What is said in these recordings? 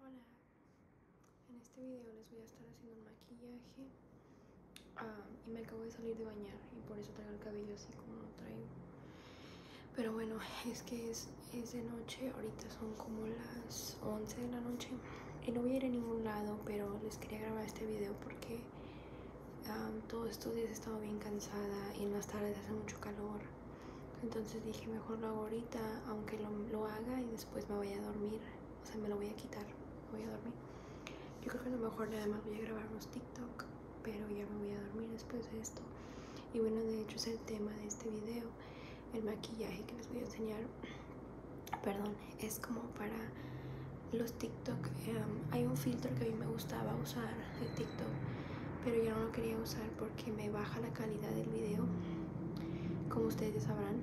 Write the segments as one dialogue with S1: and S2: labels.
S1: Hola, en este video les voy a estar haciendo un maquillaje ah, y me acabo de salir de bañar y por eso traigo el cabello así como lo traigo pero bueno, es que es, de noche, ahorita son como las 11 de la noche y no voy a ir a ningún lado pero les quería grabar este video porque ah, todos estos días he estado bien cansada y en las tardes hace mucho calor entonces dije, mejor lo hago ahorita, aunque lo, haga y después me voy a dormir. O sea, me lo voy a quitar, voy a dormir. Yo creo que a lo mejor nada más voy a grabar unos TikTok, pero ya me voy a dormir después de esto. Y bueno, de hecho es el tema de este video. El maquillaje que les voy a enseñar, perdón, es como para los TikTok. Em, hay un filtro que a mí me gustaba usar de TikTok, pero ya no lo quería usar que me baja la calidad del video, como ustedes sabrán.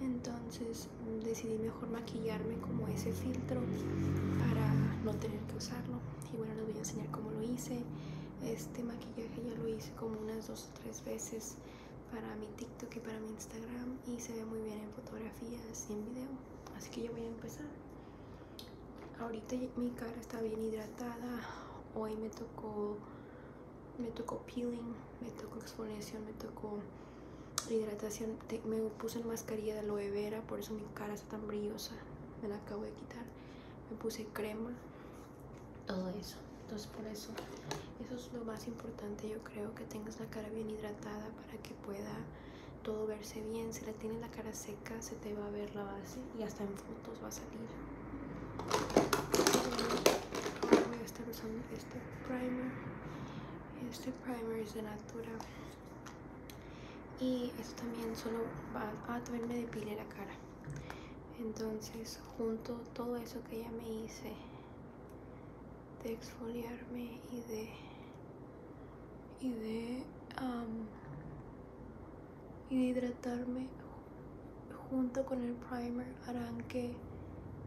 S1: Entonces decidí mejor maquillarme como ese filtro para no tener que usarlo. Y bueno, les voy a enseñar cómo lo hice. Este maquillaje ya lo hice como unas dos o tres veces para mi TikTok y para mi Instagram y se ve muy bien en fotografías y en video. Así que yo voy a empezar. Ahorita mi cara está bien hidratada. Hoy me tocó me tocó peeling, me tocó exfoliación, me tocó hidratación. me puse en mascarilla de aloe vera, por eso mi cara está tan brillosa. Me la acabo de quitar. Me puse crema, todo eso. Entonces por eso, eso es lo más importante. Yo creo que tengas la cara bien hidratada para que pueda todo verse bien. Si la tienes la cara seca, se te va a ver la base y hasta en va a salir voy a estar usando este primer este primer es de Natura y esto también solo va a también me depile la cara entonces junto todo eso que ya me hice de exfoliarme y de y de y de hidratarme junto con el primer harán que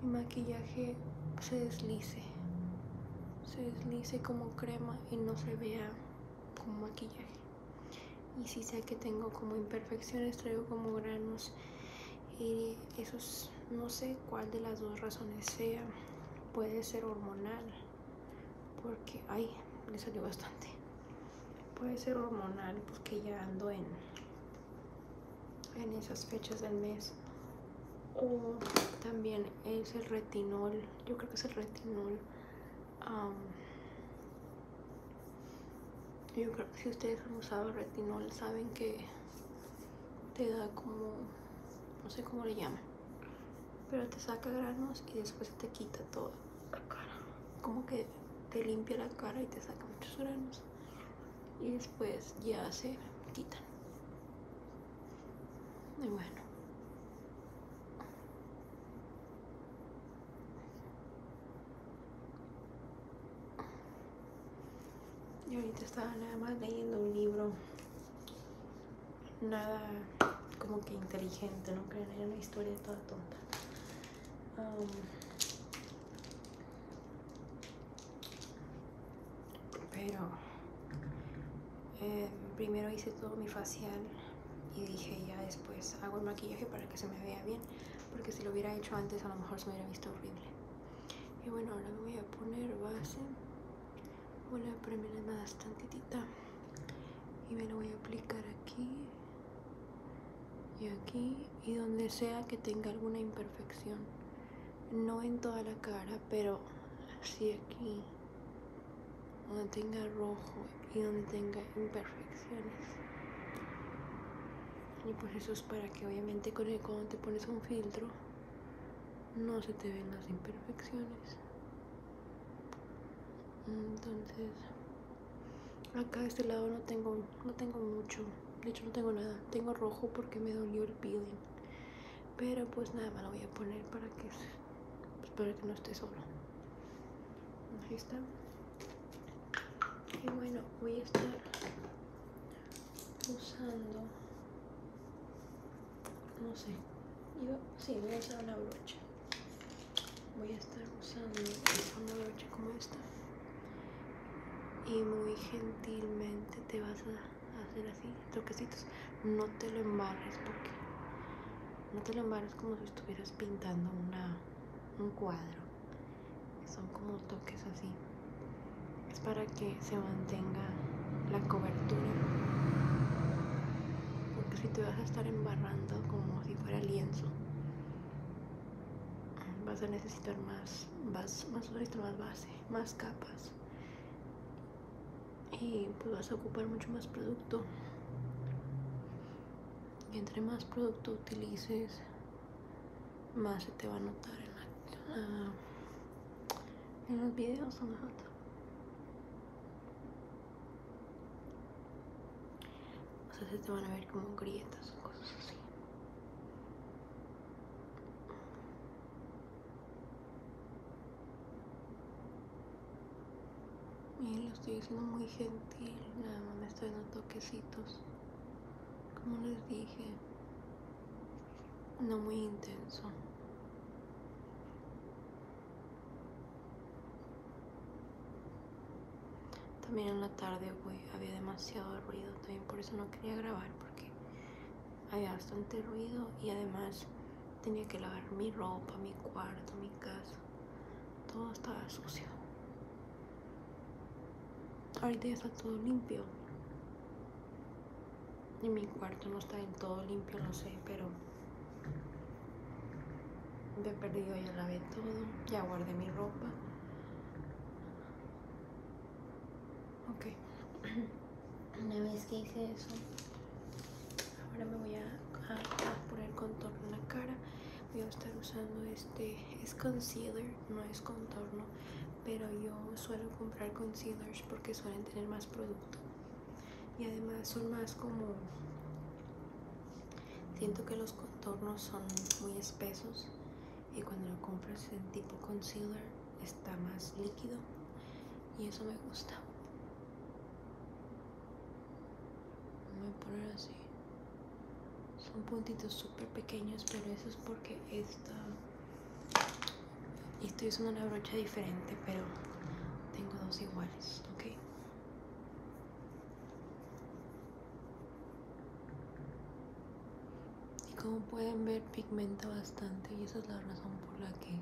S1: mi maquillaje se deslice, se deslice como crema y no se vea como maquillaje. Y si sé que tengo como imperfecciones, traigo como granos y eso no sé cuál de las dos razones sea. Puede ser hormonal, porque, ay, le salió bastante. Puede ser hormonal porque ya ando en en esas fechas del mes o también es el retinol yo creo que es el retinol yo creo que si ustedes han usado retinol saben que te da como no sé cómo le llaman pero te saca granos y después te quita toda la cara como que te limpia la cara y te saca muchos granos y después ya se quitan. Y bueno. Y ahorita estaba nada más leyendo un libro. Nada como que inteligente, no creen, era una historia toda tonta. Um, pero eh, primero hice todo mi facial y dije ya después hago el maquillaje para que se me vea bien porque si lo hubiera hecho antes a lo mejor se me hubiera visto horrible y bueno ahora me voy a poner base voy a ponerme nada y me lo voy a aplicar aquí y aquí y donde sea que tenga alguna imperfección. No en toda la cara, pero así aquí, donde tenga rojo y donde tenga imperfecciones. Y pues eso es para que obviamente con el, cuando te pones un filtro no se te ven las imperfecciones. Entonces, acá de este lado no tengo no tengo mucho de hecho no tengo nada tengo rojo porque me dolió el peeling pero pues nada me lo voy a poner para que para que no esté solo ahí está y bueno voy a estar usando no sé sí voy a usar una brocha voy a estar usando una brocha como esta y muy gentilmente te vas a hacer así, toquecitos. No te lo embarres porque no te lo embarres como si estuvieras pintando un cuadro. Son como toques así. Es para que se mantenga la cobertura. Porque si te vas a estar embarrando como si fuera lienzo, vas a necesitar más, más más base, más capas y pues vas a ocupar mucho más producto y entre más producto utilices más se te va a notar en, los videos o sea, se te van a ver como grietas o cosas así. Miren, lo estoy haciendo muy gentil, nada más me estoy dando toquecitos. Como les dije, no muy intenso. También en la tarde había demasiado ruido, también por eso no quería grabar, porque había bastante ruido y además tenía que lavar mi ropa, mi cuarto, mi casa. Todo estaba sucio. Ahorita ya está todo limpio. Y mi cuarto no está del todo limpio, no sé, pero he perdido ya lavé todo, ya guardé mi ropa Ok. Una vez que hice eso, ahora me voy a, poner contorno en la cara. Voy a estar usando este, es concealer, no es contorno, pero yo suelo comprar concealers porque suelen tener más producto. Y además son más como, siento que los contornos son muy espesos y cuando lo compras en tipo concealer está más líquido y eso me gusta voy a poner así son puntitos súper pequeños pero eso es porque esta estoy usando una brocha diferente pero tengo dos iguales ok y como pueden ver, pigmenta bastante y esa es la razón por la que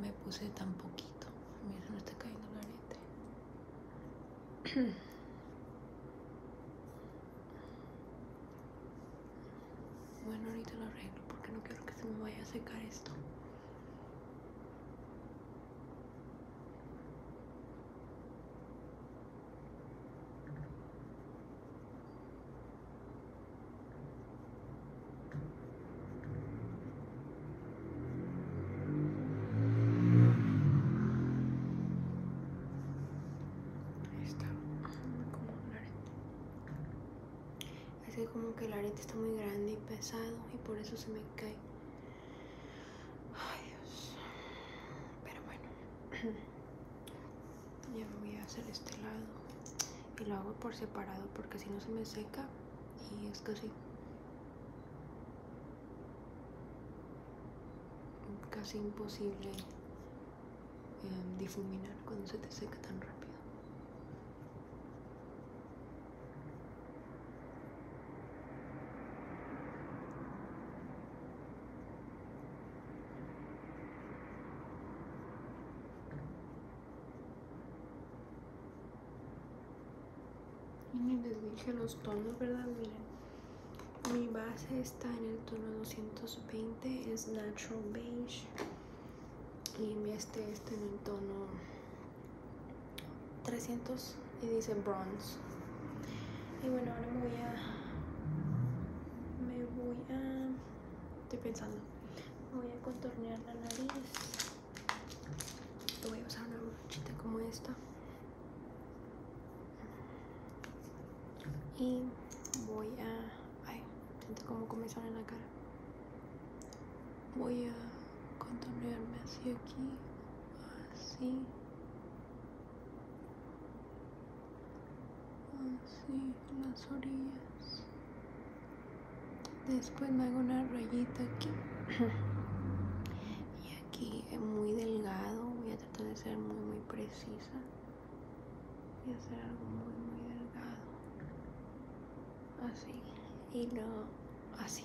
S1: me puse tan poquito. Mira, no está cayendo la neta bueno, ahorita lo arreglo porque no quiero que se me vaya a secar esto como que el arete está muy grande y pesado y por eso se me cae Ay, Dios. Pero bueno. Ya me voy a hacer este lado. Y lo hago por separado porque si no se me seca. Y es casi. Casi imposible em, difuminar cuando se te seca tan rápido. Y les dije los tonos, ¿verdad? Miren. Mi base está en el tono 220, es Natural Beige. Y mi este está en el tono 300 y dice bronze. Y bueno, ahora me voy a. Me voy a. Estoy pensando. Me voy a contornear la nariz. Voy a usar una brochita como esta. Y voy a. Ay, siento como comenzar en la cara. Voy a contornearme así aquí. Así así ah, las orillas después me hago una rayita aquí y aquí es muy delgado voy a tratar de ser muy muy precisa y hacer algo muy muy delgado así y no así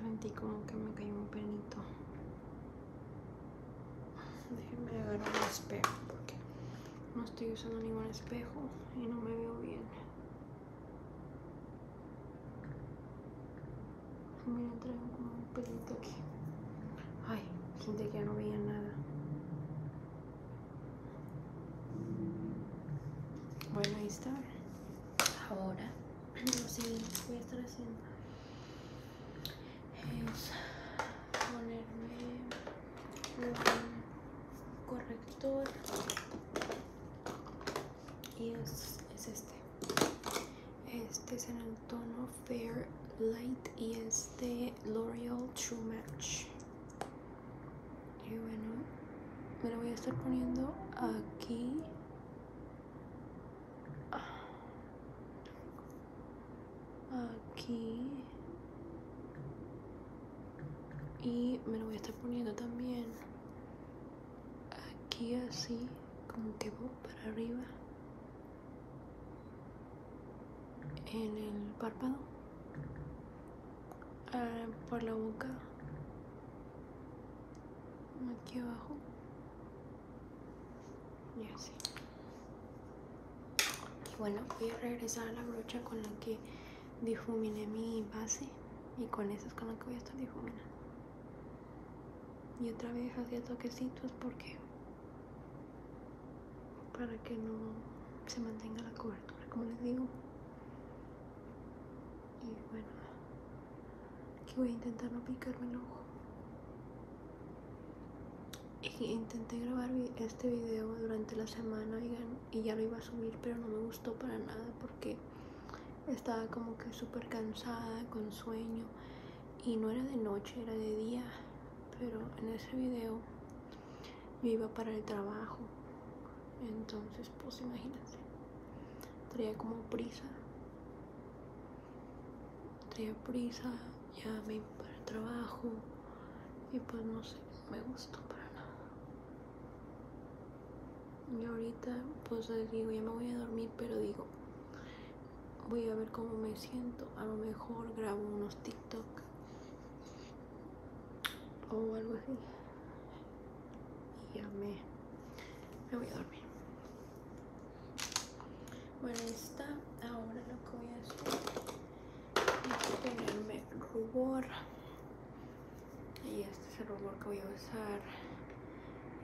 S1: Sentí como que me cayó un pelito Déjenme agarrar un espejo porque no estoy usando ningún espejo y no me veo bien. Mira, traigo como un pelito aquí. Ay, gente que ya no veía nada. Bueno, ahí está. Ahora, lo siguiente que voy a estar haciendo es ponerme un corrector y es, este. Este es en el tono Fair Light y este L'Oreal True Match y bueno me lo voy a estar poniendo aquí aquí y me lo voy a estar poniendo también aquí así como que para arriba en el párpado, ah, por la boca, aquí abajo y así. Y bueno, voy a regresar a la brocha con la que difuminé mi base y con esa es con la que voy a estar difuminando. Y otra vez hacía toquecitos porque para que no se mantenga la cobertura, como les digo. Y bueno, que voy a intentar no picarme el ojo. intenté grabar este video durante la semana y ya lo iba a subir, pero no me gustó para nada porque estaba como que súper cansada, con sueño. Y no era de noche, era de día. Pero en ese video me iba para el trabajo. Entonces, pues imagínate, traía como prisa. Traía prisa, ya me iba para el trabajo y pues no sé, me gustó para nada. Y ahorita, pues digo, ya me voy a dormir, pero digo, voy a ver cómo me siento. A lo mejor grabo unos TikTok o algo así y ya me, voy a dormir bueno está. ahora lo que voy a hacer es ponerme rubor y este es el rubor que voy a usar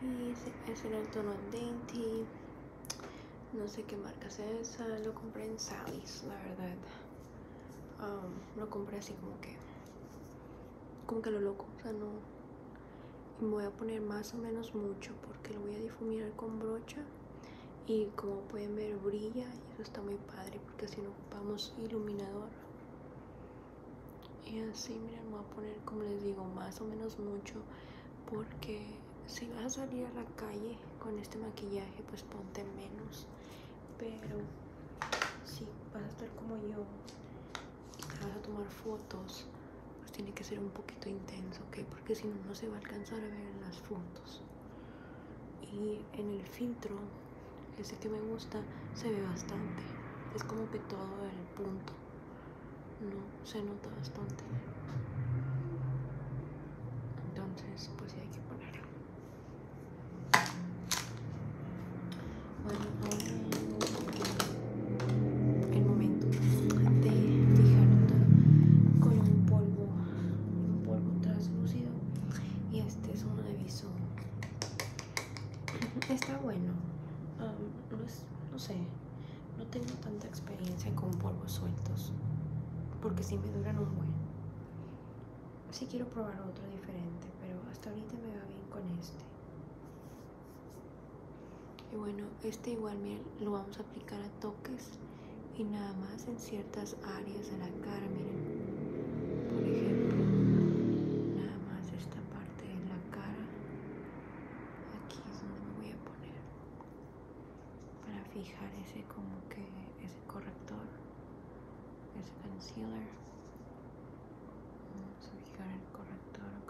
S1: y es en el tono dainty no sé qué marca es esa, lo compré en Sally's, la verdad. Um, lo compré así como que, como que lo loco, o sea, no. me voy a poner más o menos mucho porque lo voy a difuminar con brocha y como pueden ver brilla y eso está muy padre porque así no ocupamos iluminador. Y así, miren, me voy a poner, como les digo, más o menos mucho porque si vas a salir a la calle con este maquillaje, pues ponte menos. Pero si vas a estar como yo y vas a tomar fotos, pues tiene que ser un poquito intenso, ¿ok? Porque si no, no se va a alcanzar a ver las fotos. Y en el filtro, ese que me gusta, se ve bastante. Es como que todo el punto, ¿no? Se nota bastante. Entonces, pues sí hay que poner. Bueno, ahora es el momento de fijarlo con un polvo, un polvo translúcido Y este es un aviso Está bueno No sé, no tengo tanta experiencia con polvos sueltos Porque si me duran un buen si quiero probar otro diferente, pero hasta ahorita me va bien con este. Y bueno, este igual lo vamos a aplicar a toques y nada más en ciertas áreas de la cara, miren. Por ejemplo, nada más esta parte de la cara. Aquí es donde me voy a poner para fijar ese como que ese corrector ese concealer vamos fijar el corrector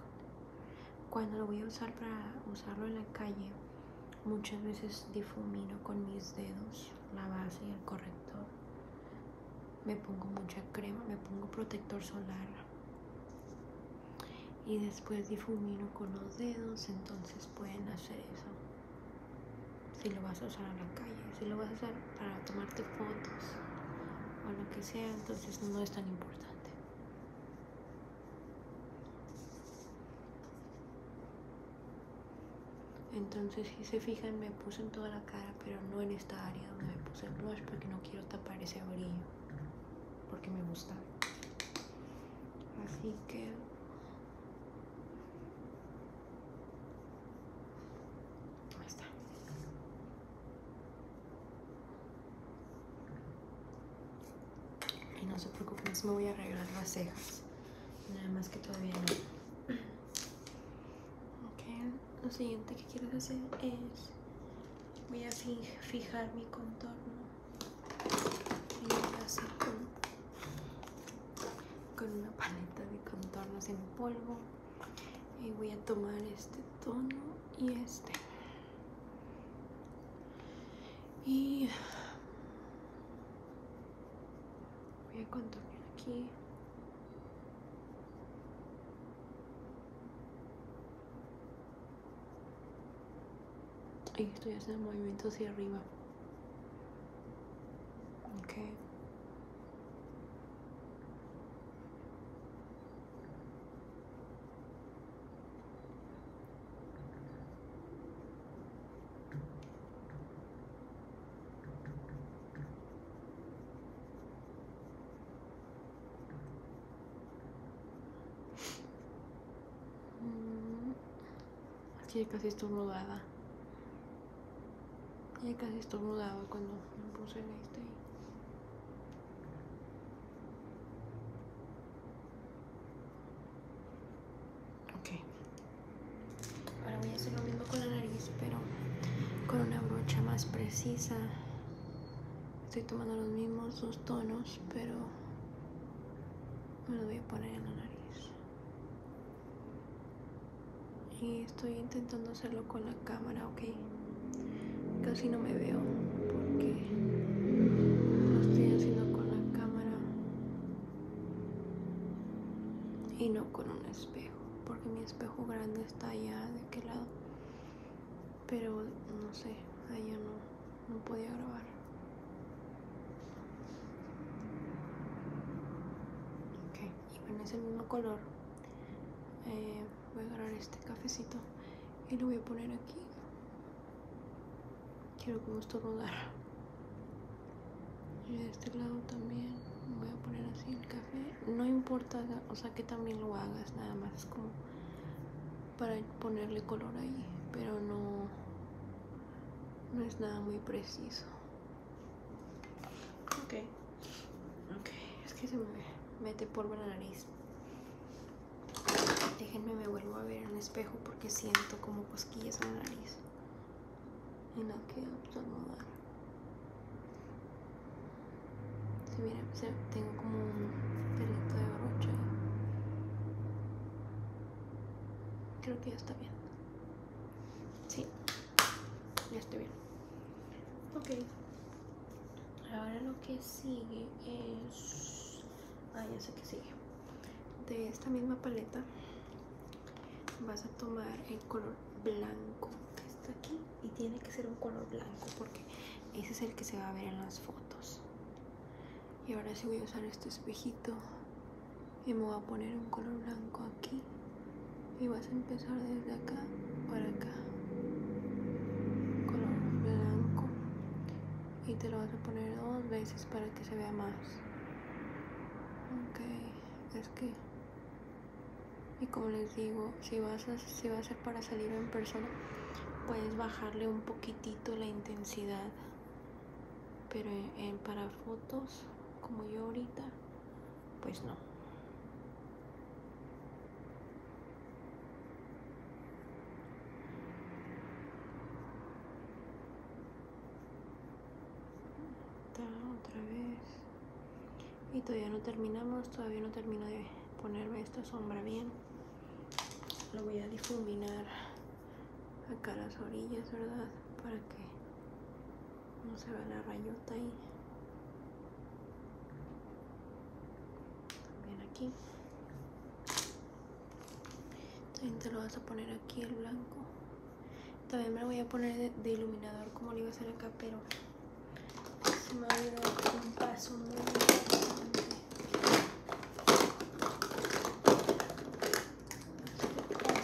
S1: cuando lo voy a usar para usarlo en la calle muchas veces difumino con mis dedos la base y el corrector me pongo mucha crema me pongo protector solar y después difumino con los dedos entonces pueden hacer eso si lo vas a usar en la calle, si lo vas a usar para tomarte fotos o lo que sea, entonces no es tan importante. Entonces, si se fijan, me puse en toda la cara, pero no en esta área donde me puse el blush porque no quiero tapar ese brillo, porque me gusta. Así que Ahí está. Y no se preocupen, me voy a arreglar las cejas. Nada más que todavía no. Ok, lo siguiente que quiero hacer es... Voy a fijar mi contorno y con, una paleta de contornos en polvo. Y voy a tomar este tono y este. Y voy a contornear aquí y estoy haciendo movimiento hacia arriba ok mm aquí ya casi estornudada. Ya casi estornudada cuando me puse en este. Ok. Ahora voy a hacer lo mismo con la nariz, pero con una brocha más precisa. Estoy tomando los mismos dos tonos, pero me lo voy a poner en la nariz. Y estoy intentando hacerlo con la cámara, ¿ok? Casi no me veo porque lo estoy haciendo con la cámara y no con un espejo, porque mi espejo grande está allá, de aquel lado. Pero no sé, allá no, no podía grabar. Ok, y bueno, es el mismo color. Eh, voy a agarrar este cafecito y lo voy a poner aquí. Quiero como Y de este lado también voy a poner así el café. No importa, o sea que también lo hagas, nada más como para ponerle color ahí, pero no no es nada muy preciso. Ok, ok, es que se me mete polvo en la nariz. Déjenme, me vuelvo a ver en el espejo porque siento como cosquillas en la nariz. Y no quiero estornudar. si mira, tengo como un pelito de brocha. Creo que ya está bien. Sí, ya estoy bien. Ok. Ahora lo que sigue es... Ah, ya sé que sigue. De esta misma paleta vas a tomar el color blanco que está aquí. Y tiene que ser un color blanco porque ese es el que se va a ver en las fotos. Y ahora sí voy a usar este espejito y me voy a poner un color blanco aquí y vas a empezar desde acá para acá color blanco y te lo vas a poner dos veces para que se vea más ok es que y como les digo si vas a, si va a ser para salir en persona puedes bajarle un poquitito la intensidad pero en, para fotos como yo ahorita pues no otra vez y todavía no terminamos todavía no termino de ponerme esta sombra bien lo voy a difuminar acá las orillas, ¿verdad? Para que no se vea la rayota ahí. También aquí. También te lo vas a poner aquí el blanco. También me lo voy a poner de, iluminador como lo iba a hacer acá, pero se me ha un paso muy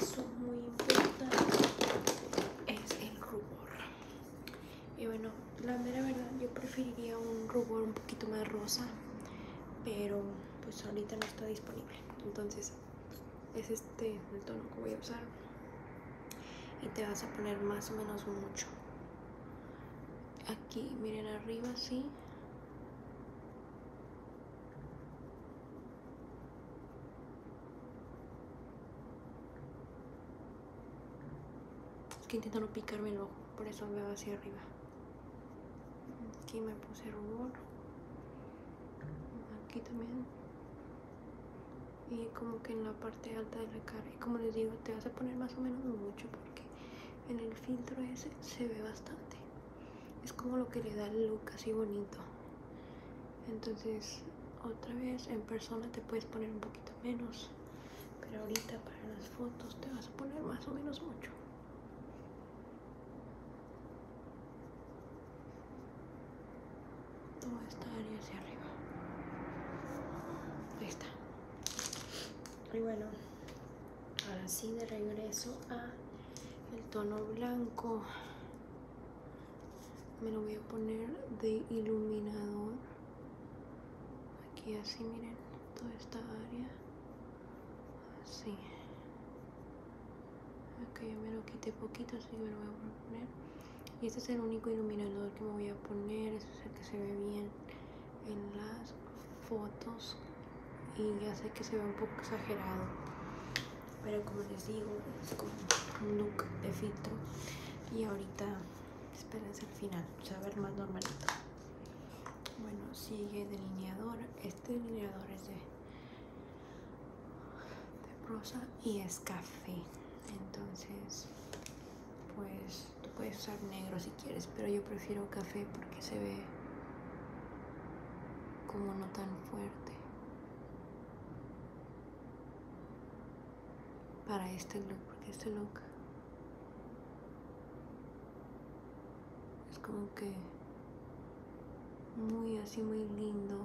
S1: es muy importante es el rubor y bueno la mera verdad yo preferiría un rubor un poquito más rosa pero pues ahorita no está disponible entonces es este el tono que voy a usar y te vas a poner más o menos mucho aquí miren arriba así es que intento no picarme el ojo, por eso me va hacia arriba. Aquí me puse rubor. Aquí también. Y como que en la parte alta de la cara. Y como les digo, te vas a poner más o menos mucho porque en el filtro ese se ve bastante es como lo que le da el look así bonito entonces otra vez en persona te puedes poner un poquito menos pero ahorita para las fotos te vas a poner más o menos mucho Todo esta área hacia arriba está y bueno ahora sí de regreso a el tono blanco me lo voy a poner de iluminador aquí así miren toda esta área así ok ya me lo quité poquito así me lo voy a poner y este es el único iluminador que me voy a poner es el que se ve bien en las fotos y ya sé que se ve un poco exagerado pero como les digo es como un look de filtro y ahorita espérense el final se va ver más normalito bueno sigue delineador este delineador es de de rosa y es café entonces pues tú puedes usar negro si quieres pero yo prefiero café porque se ve como no tan fuerte para este look, porque este look es como que muy así, muy lindo.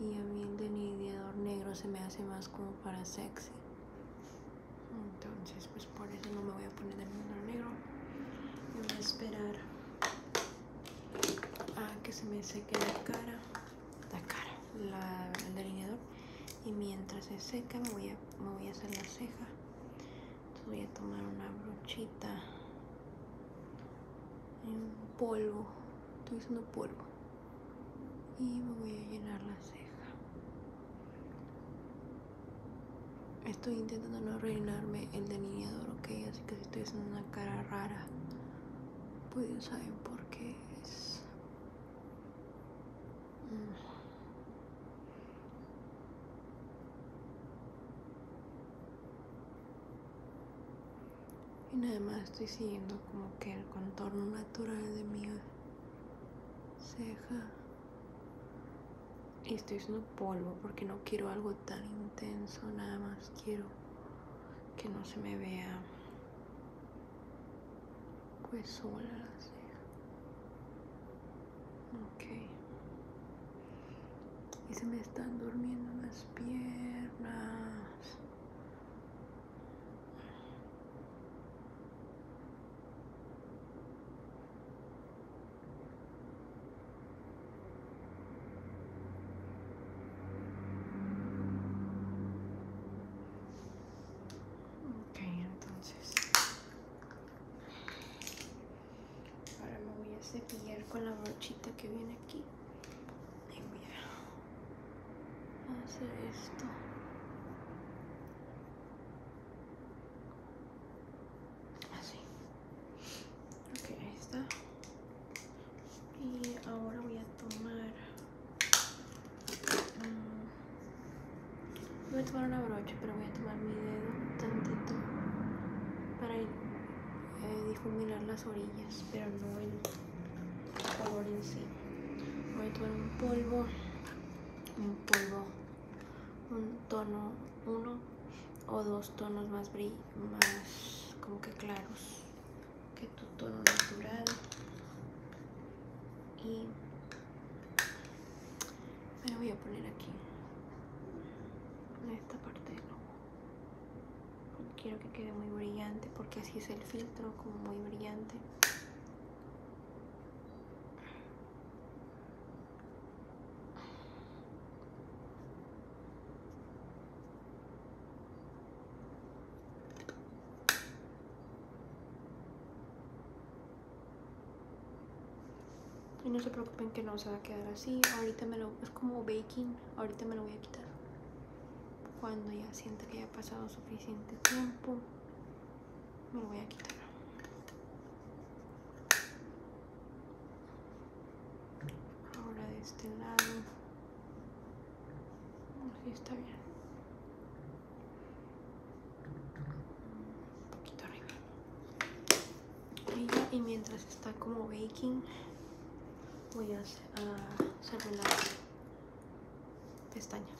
S1: Y a mí el delineador negro se me hace más como para sexy. Entonces, pues por eso no me voy a poner delineador negro. voy a esperar a ah, que se me seque la cara, la cara, el delineador. Y mientras se seca me voy a, hacer la ceja Entonces voy a tomar una brochita en polvo. Estoy usando polvo. Y me voy a llenar la ceja. Estoy intentando no rellenarme el de delineador, ok, así que si estoy haciendo una cara rara, pues saber por qué es. Mm. Y nada más estoy siguiendo como que el contorno natural de mi ceja y estoy haciendo polvo porque no quiero algo tan intenso, nada más quiero que no se me vea pues sola ceja. Ok. Y se me están durmiendo las piernas. Okay, entonces ahora me voy a cepillar con la brochita que viene aquí. Y voy a hacer esto. Así ok ahí está y ahora voy a tomar mm, voy a tomar una brocha pero voy a tomar mi dedo tantito para eh, difuminar las orillas pero no el color en sí voy a tomar un polvo un polvo un tono uno o dos tonos más, más como que claros que tu tono natural y me voy a poner aquí en esta parte del quiero que quede muy brillante porque así es el filtro como muy brillante y no se preocupen que no se va a quedar así. Ahorita me lo... Es como baking. Ahorita me lo voy a quitar. Cuando ya sienta que haya ha pasado suficiente tiempo. Me lo voy a quitar ahora de este lado así está bien un poquito arriba y, mientras está como baking voy a, a cerrar las pestañas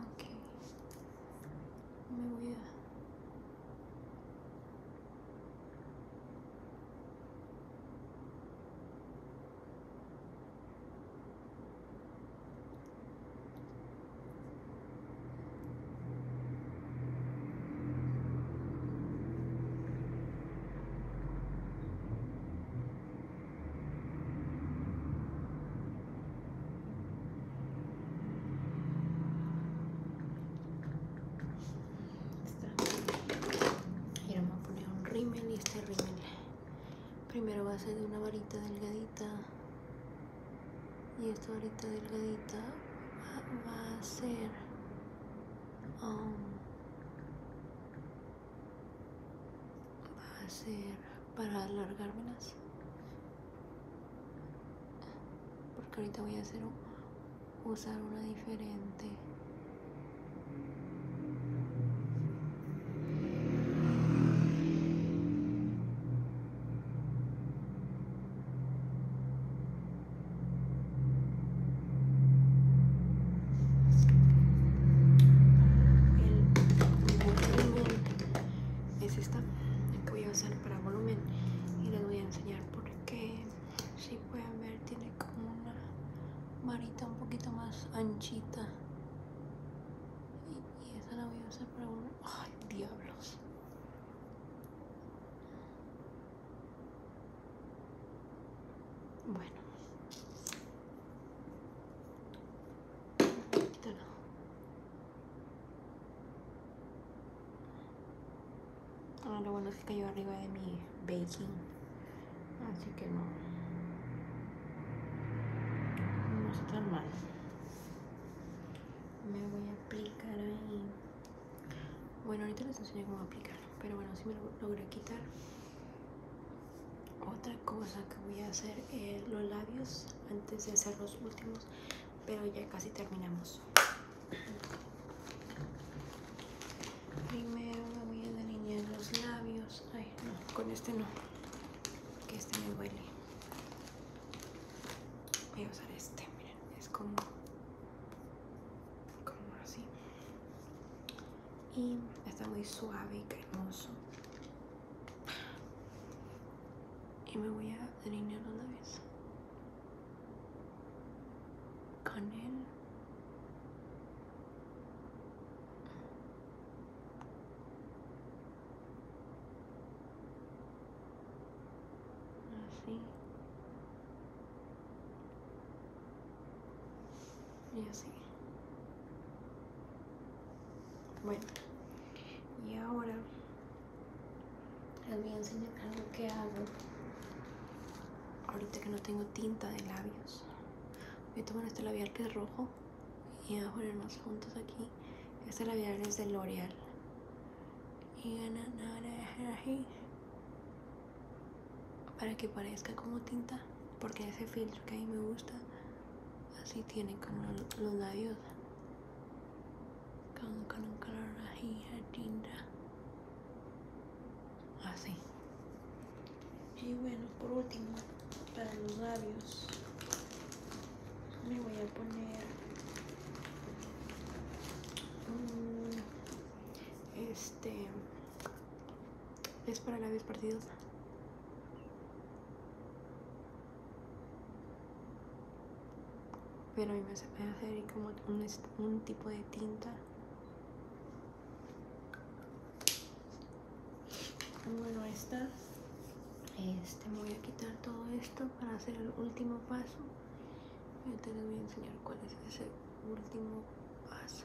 S1: Ok. Me voy a... Y ahora vamos a poner un rímel y este rímel primero va a ser de una varita delgadita y esta varita delgadita va, a ser um, va a ser para alargármelas porque ahorita voy a hacer usar una diferente es esta que voy a usar para volumen y les voy a enseñar porque si pueden ver tiene como una varita un poquito más anchita y, esa la voy a usar para volumen ay diablos bueno Quítalo. Ahora lo bueno es que cayó arriba de mi baking. Así que no. No está tan mal. Me voy a aplicar ahí. Bueno, ahorita les enseño cómo aplicarlo Pero bueno, si me lo logré quitar. Otra cosa que voy a hacer es los labios antes de hacer los últimos pero ya casi terminamos primero voy a delinear los labios ay no con este no que este me duele voy a usar este miren es como como así y está muy suave y cremoso y me voy a delinear una vez Con él. Así. Y así. Bueno, y ahora les voy a enseñar algo que hago ahorita que no tengo tinta de labios. Voy a tomar este labial que es rojo y vamos a ponernos juntos aquí. Este labial es de L'Oreal. Y para que parezca como tinta, porque ese filtro que a mí me gusta, así tiene como los labios Así. Ah, y bueno, por último, para los labios, me voy a poner este es para labios partidos pero a mí me hace, me como un, tipo de tinta. Bueno, esta este, me voy a quitar todo esto para hacer el último paso. te les voy a enseñar cuál es ese último paso.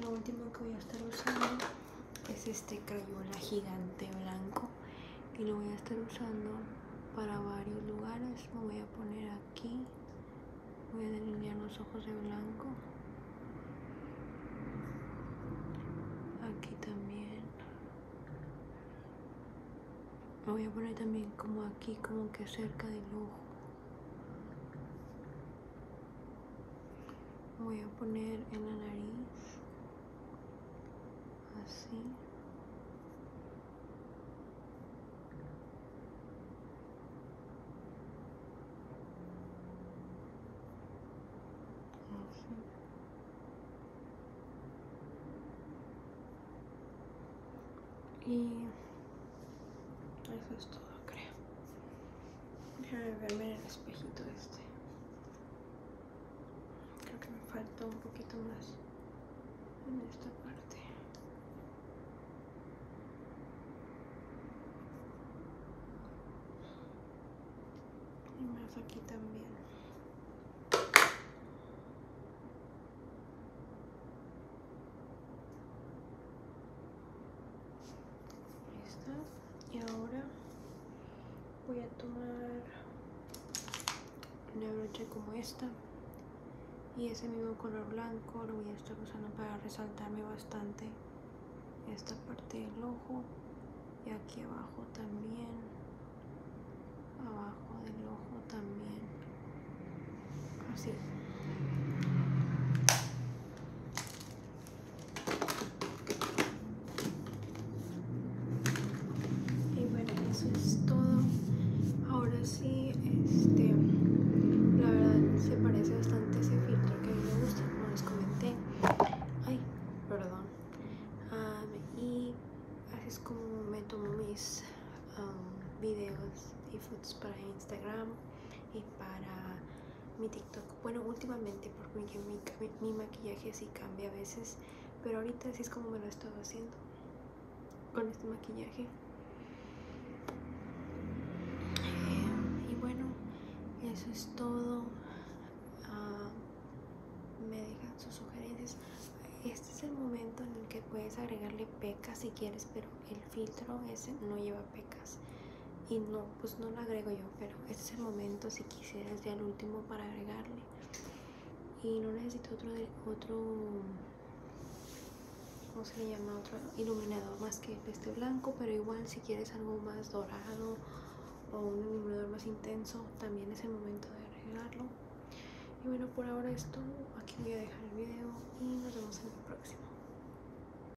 S1: Lo último que voy a estar usando es este crayola gigante blanco y lo voy a estar usando para varios lugares. Lo voy a poner aquí, voy a delinear los ojos de blanco. Aquí también. me voy a poner también como aquí, como que cerca del ojo voy a poner en la nariz así así y eso es todo creo Déjame verme en el espejito este. Creo que me falta un poquito más en esta parte. Y más aquí también y ahora voy a tomar una brocha como esta y ese mismo color blanco lo voy a estar usando para resaltarme bastante esta parte del ojo y aquí abajo también abajo del ojo también así y bueno, eso es todo. Ahora sí, este, la verdad se parece bastante a ese filtro que a mí me gusta, como les comenté. Ay, perdón. y así es como me tomo mis videos y fotos para Instagram para mi TikTok. Bueno, últimamente porque mi, maquillaje sí cambia a veces, pero ahorita sí es como me lo he estado haciendo con este maquillaje. Eh, y bueno, eso es todo. Ah, me dejan sus sugerencias. Este es el momento en el que puedes agregarle pecas si quieres, pero el filtro ese no lleva pecas y no, pues no lo agrego yo, pero este es el momento si quisieras ya el último para agregarle y no necesito otro, otro ¿cómo se le llama? otro iluminador más que este blanco, pero igual si quieres algo más dorado o un iluminador más intenso, también es el momento de agregarlo y bueno, por ahora esto aquí voy a dejar el video y nos vemos en el próximo